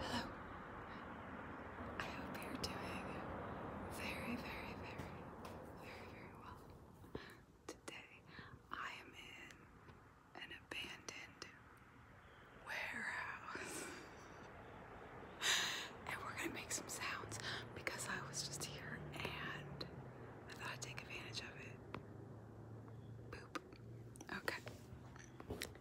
Hello. I hope you're doing very, very, very, very, very well. Today I am in an abandoned warehouse. and we're gonna make some sounds because I was just here and I thought I'd take advantage of it. Boop. Okay.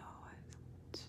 Oh, it's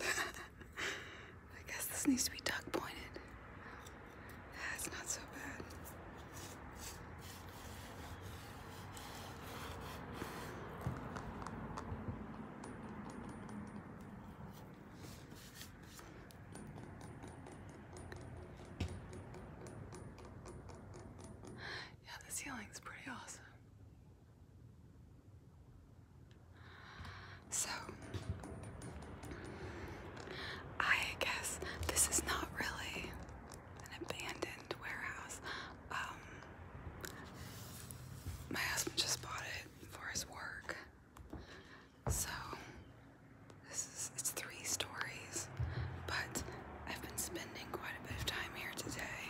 I guess this needs to be duck pointed. That's not so bad. Yeah, the ceiling's pretty awesome. So, I guess this is not really an abandoned warehouse. Um, my husband just bought it for his work. So this is it's three stories, but I've been spending quite a bit of time here today.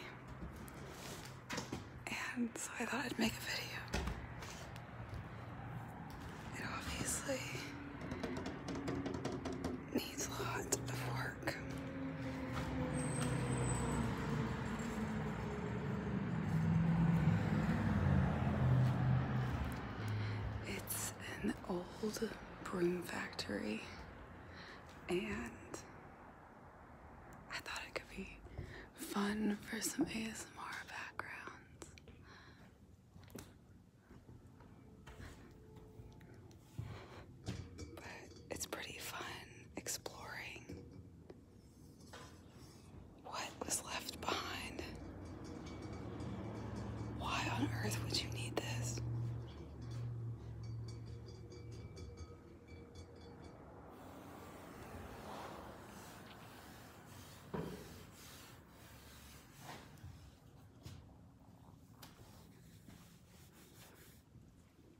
And I thought I'd make a video. It obviously needs a lot of work. It's an old broom factory, and I thought it could be fun for some ASMR backgrounds. But it's pretty fun exploring what was left behind? Why on earth would you need this?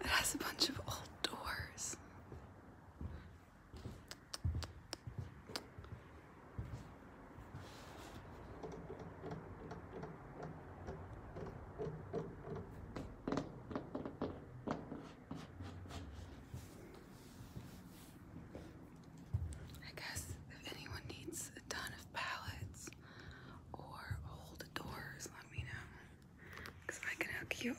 it has a bunch of old doors. I guess if anyone needs a ton of pallets or old doors, let me know I can hook you up.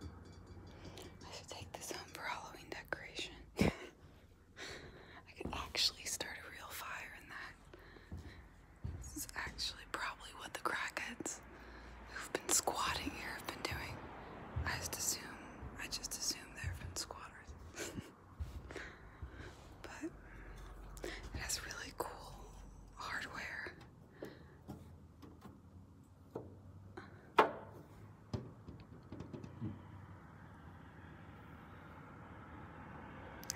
I should take this home for Halloween decoration. I could actually start a real fire in that. This is actually probably what the crackheads who've been squatting here have been doing. I just assume, I just assume they've been squatters. but it has really cool hardware. I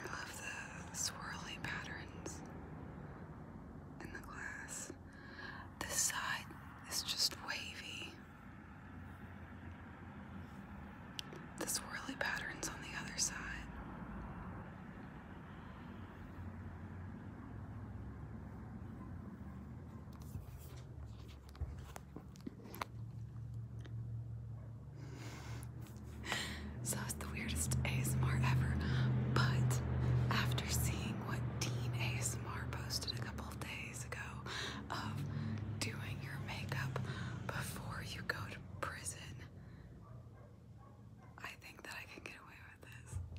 love the swirly patterns in the glass. This side is just wavy. The swirly patterns on the other side So it's the weirdest ASMR ever, but after seeing what Dean ASMR posted a couple days ago of doing your makeup before you go to prison, I think that I can get away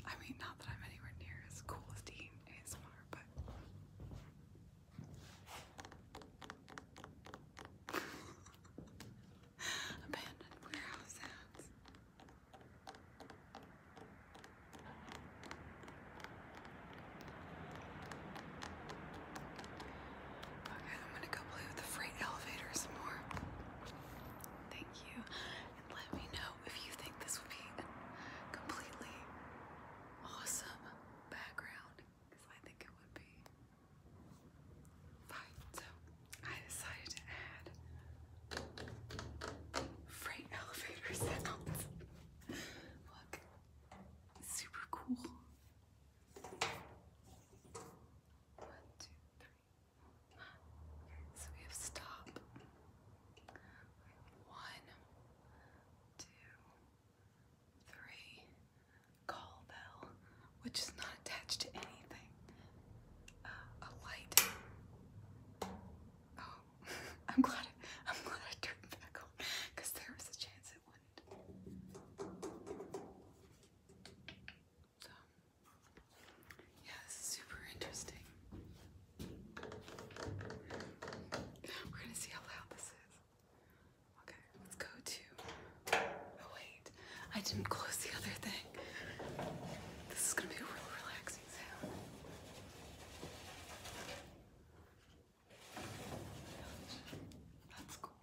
I mean, not that I'm anywhere near as cool as Dean ASMR, but. Abandoned warehouse Okay, I'm gonna go play with the freight elevator some more. Thank you let me know if you think this would be a completely awesome background because I think it would be. Fine, so I decided to add freight elevator sounds. Look, super cool. One, two, three. So we have stop. One, two, three. Call bell, which is not attached to anything. Uh, a light. Oh, I'm glad. I, turned it back on, cause there was a chance it wouldn't. Yeah, this is super interesting. We're gonna see how loud this is. Okay, let's go to. Oh, wait, I didn't close the other thing. This is gonna be a real relaxing sound. That's cool.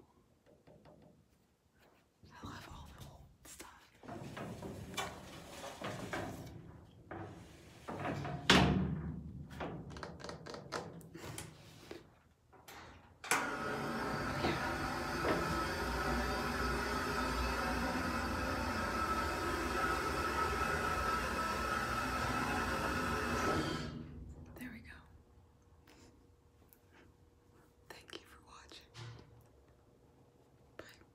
I love all the old stuff. There we go. Thank you for watching. Bye.